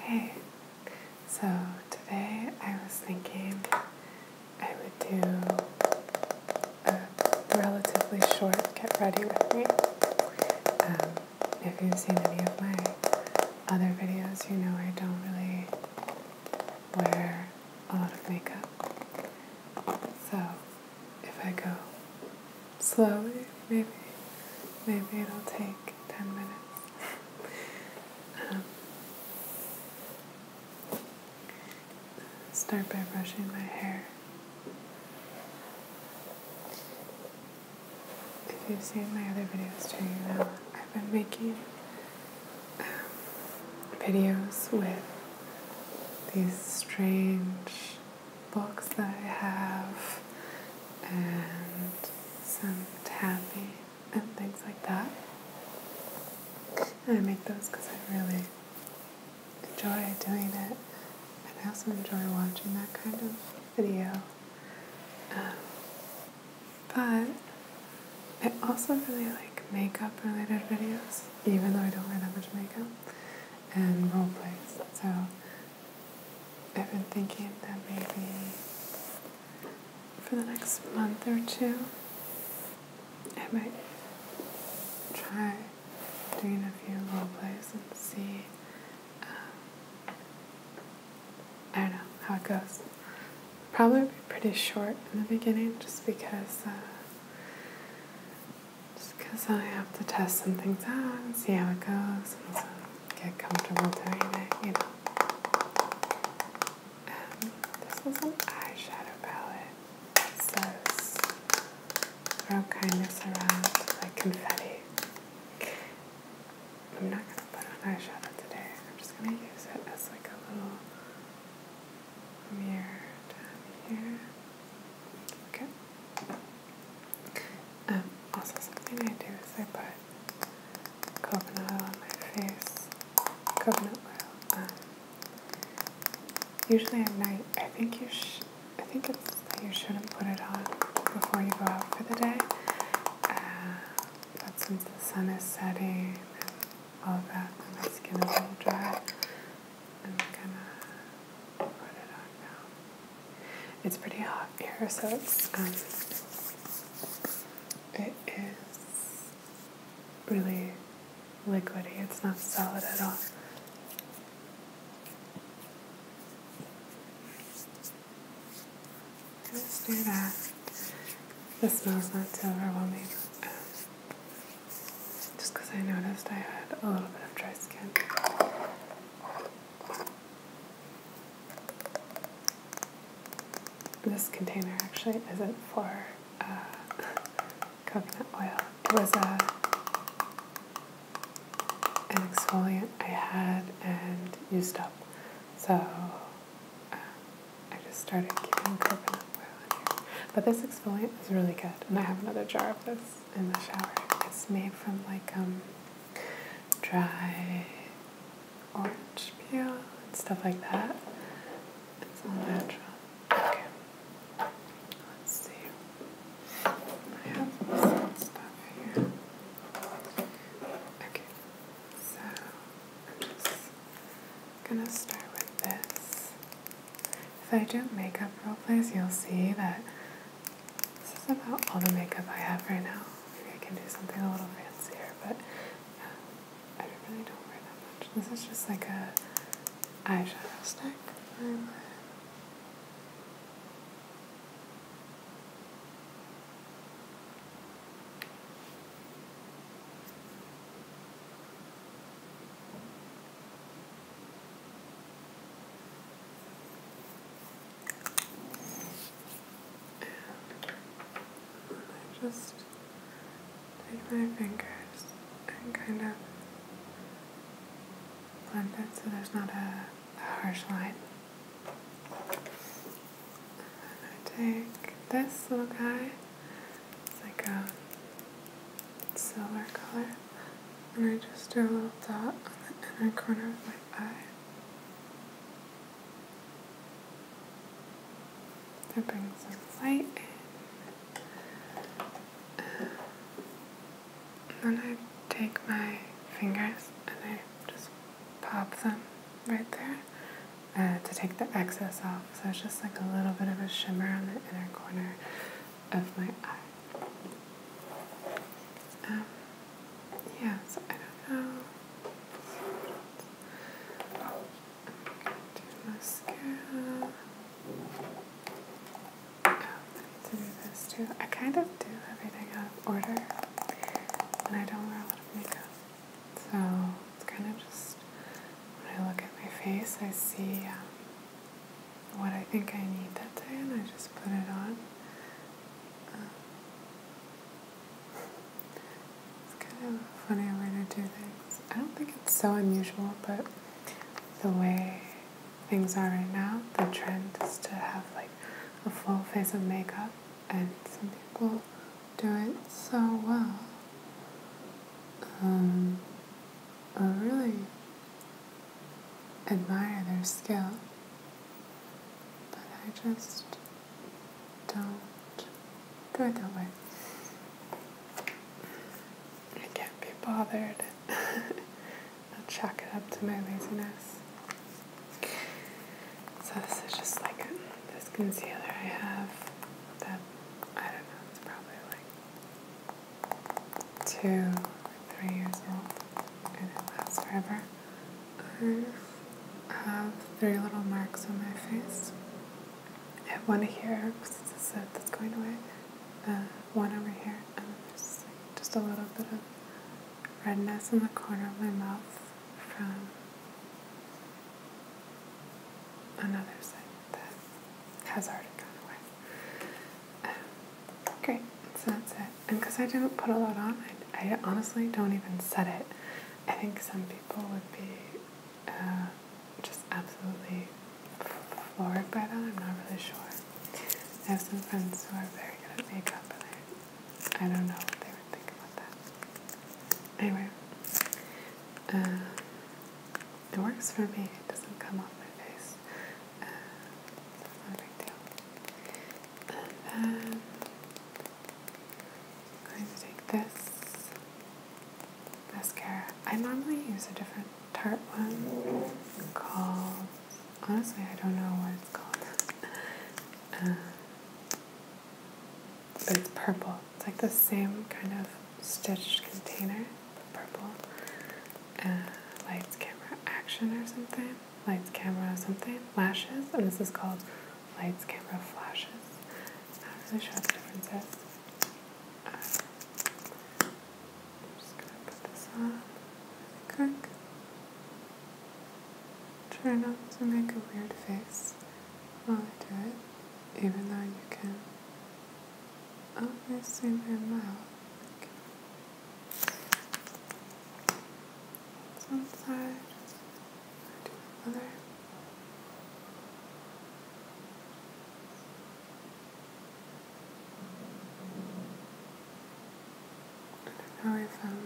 Hey, so today I was thinking I would do a relatively short get ready with me. Um, if you've seen any of my other videos, you know I don't really wear a lot of makeup. So if I go slowly, maybe, maybe it'll take 10 minutes. Um, start by brushing my hair. If you've seen my other videos too, you know I've been making um, videos with these strange books that I have and some tapping and things like that. I make those because I really enjoy doing it. And I also enjoy watching that kind of video. Um, but I also really like makeup related videos, even though I don't wear that much makeup, and role plays. So I've been thinking that maybe for the next month or two, I might try doing a few role plays and see. Um, I don't know how it goes. Probably pretty short in the beginning, just because. Uh, just because I have to test some things out and see how it goes get comfortable doing it, you know. Um, this is an eyeshadow palette. So, says, throw kindness around like confetti. I'm not going to put on eyeshadow today. I'm just going to use it as like a little mirror down here. Okay. Um, also something I do is I put coconut oil on my face. Coconut oil. Um, usually at night, I think you should, I think it's you shouldn't put it on before you go out for the day. Uh, but since the sun is setting and all of that, my skin is a little dry. I'm gonna put it on now. It's pretty hot here, so it's um, it is really liquidy. It's not solid at all. Let's do that. The smell's not too overwhelming. Um, just because I noticed I had a little bit of dry skin. This container actually isn't for uh, coconut oil. It was uh, an exfoliant I had and used up. So uh, I just started keeping coconut oil in here. But this exfoliant is really good. And I have another jar of this in the shower. It's made from like um, dry orange peel and stuff like that. It's all natural. Okay. Let's see. I have some stuff here. Okay. So I'm gonna start with this. If I do makeup role plays, you'll see that this is about all the makeup I have right now. Maybe I can do something a little fancier, but I really don't wear that much. This is just like a eyeshadow stick. And I just take my fingers and kind of blend it so there's not a, harsh line. And I take this little guy, it's like a silver color, and I just do a little dot on the inner corner of my eye. That brings some light then I take my fingers and I just pop them right there uh, to take the excess off. So it's just like a little bit of a shimmer on the inner corner of my eye. Um, yeah, I don't know. Do mascara. Oh, I need to do this too. I kind of do everything out of order, and I don't wear a lot of makeup. So it's kind of just when I look at my face, I see um, what I think I need that day, and I just put it on. It's kind of a funny way to do things. I don't think it's so unusual, but the way things are right now, the trend is to have like a full face of makeup, and some people do it so well. Um, I really admire their skill but I just don't do it that way. I can't be bothered. I'll chalk it up to my laziness. So this is just like this concealer I have that I don't know, it's probably like two or three years old and it lasts forever. I have three little marks on my face. I have one here because it's a set that's going away. The uh, one over here, and then there's just a little bit of redness in the corner of my mouth from another side that has already gone away. Um, great, so that's it. And because I didn't put a lot on, I, honestly don't even set it. I think some people would be uh, just absolutely floored by that. I'm not really sure. I have some friends who are very good at makeup, but I, don't know what they would think about that. Anyway, uh, it works for me. It doesn't come off my face. Uh, so it's not And then I'm going to take this mascara. I normally use a different Tarte one called, honestly, I don't know what it's called. Uh, but it's purple. It's like the same kind of stitched container, purple. Uh, lights, camera, action or something lights, camera, something, flashes, and this is called lights, camera, flashes. i Not really sure what the difference is. I'm just gonna put this on quick. Try not to make a weird face while I do it, even though you can obviously my mouth one side to I know if um,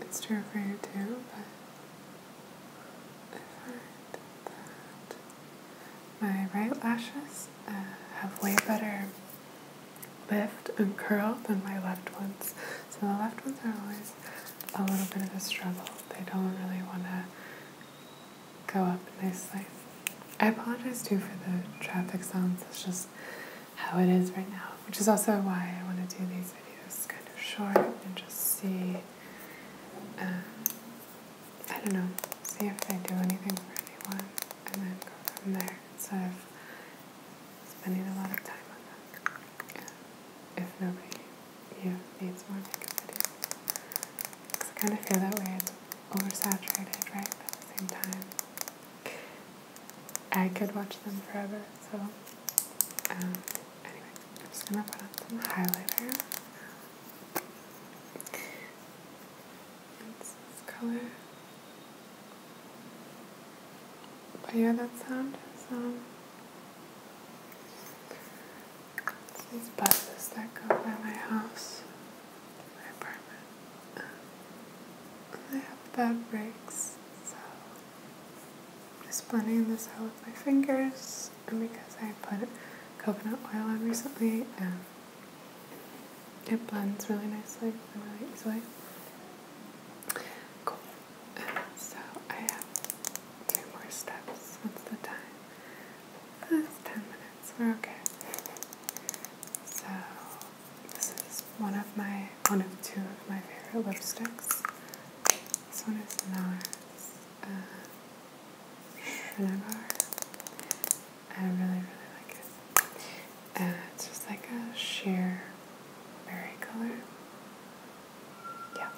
it's true for you too, but my right lashes uh, have way better lift and curl than my left ones. So the left ones are always a little bit of a struggle. They don't really want to go up nicely. I apologize too for the traffic sounds. It's just how it is right now, which is also why I want to do these videos kind of short and just see. Um, I don't know, see if they do anything for anyone and then go from there instead spending a lot of time on them. If nobody here needs more makeup videos. I kind of feel that way. It's oversaturated, right? at the same time, I could watch them forever. So, um, anyway, I'm just going to put on some highlighter. It's this color. But yeah, that sound is, it's these buses that go by my house, my apartment. they have bad brakes, so I'm just blending this out with my fingers. And because I put coconut oil on recently and um, it blends really nicely and really easily. Cool. so I have two more steps. What's the time? That's 10 minutes. We're okay. So this is one of my, one of two of my favorite lipsticks. This one is NARS. Uh, I really, really like it. Uh, it's just like a sheer berry color. Yeah,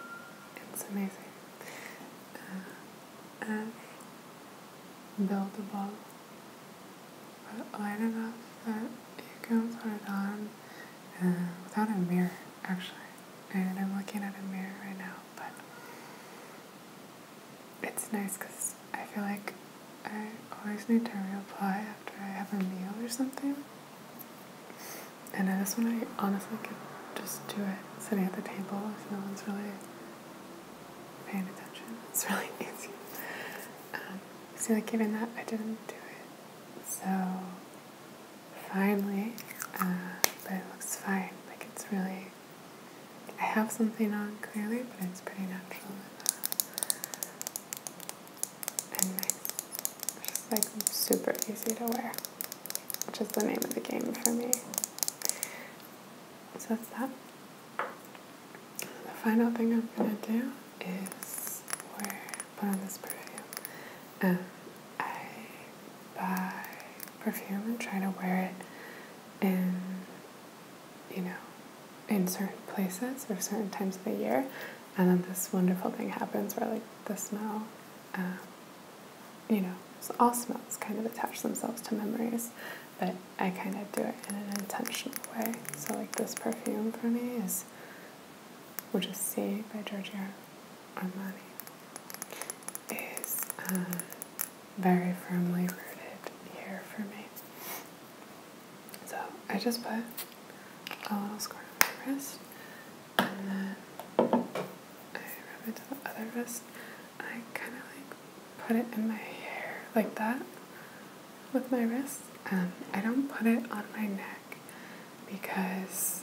it's amazing. Uh, and buildable, but light enough that you can put it on uh, without a mirror, actually. And I'm looking at a mirror right now, but it's nice because I feel like I always need to reapply after I have a meal or something. And I just want to honestly could just do it sitting at the table if no one's really paying attention. It's really easy. Um, so like even that, I didn't do it. So finally, uh, but it looks fine. Like it's really, I have something on clearly, but it's pretty natural and nice. Just like super easy to wear, which is the name of the game for me. So that's that. The final thing I'm gonna do is wear put on this perfume. Um, I buy perfume and try to wear it in you know, in certain places or certain times of the year. And then this wonderful thing happens where, like, the smell, um, you know, all smells kind of attach themselves to memories. But I kind of do it in an intentional way. So, like, this perfume for me is which is Sea by Giorgio Armani is uh, very firmly rooted here for me. So I just put a little score on my wrist and then I rub it to the other wrist. I kind of like put it in my hair like that with my wrist. and um, I don't put it on my neck because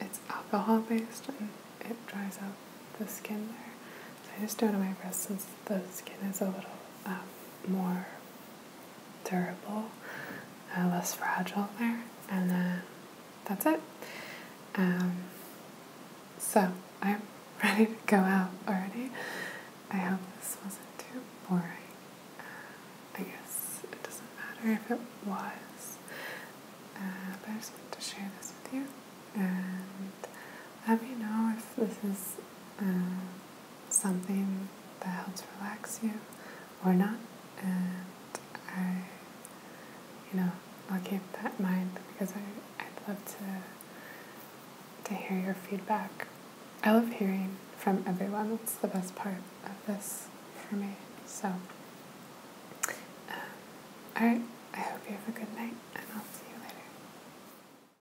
it's alcohol based and it dries out the skin there. So I just do it on my wrist since the skin is a little uh, more durable, uh, less fragile there, and then that's it. Um, so I'm ready to go out already. I hope this wasn't too boring. Uh, I guess it doesn't matter if it was, but I just wanted to share this with you and let me know if this is something that helps relax you or not. And I, you know, I'll keep that in mind because I, I'd love to, to hear your feedback. I love hearing from everyone. That's the best part of this for me. So, um, all right. I hope you have a good night, and I'll see you later.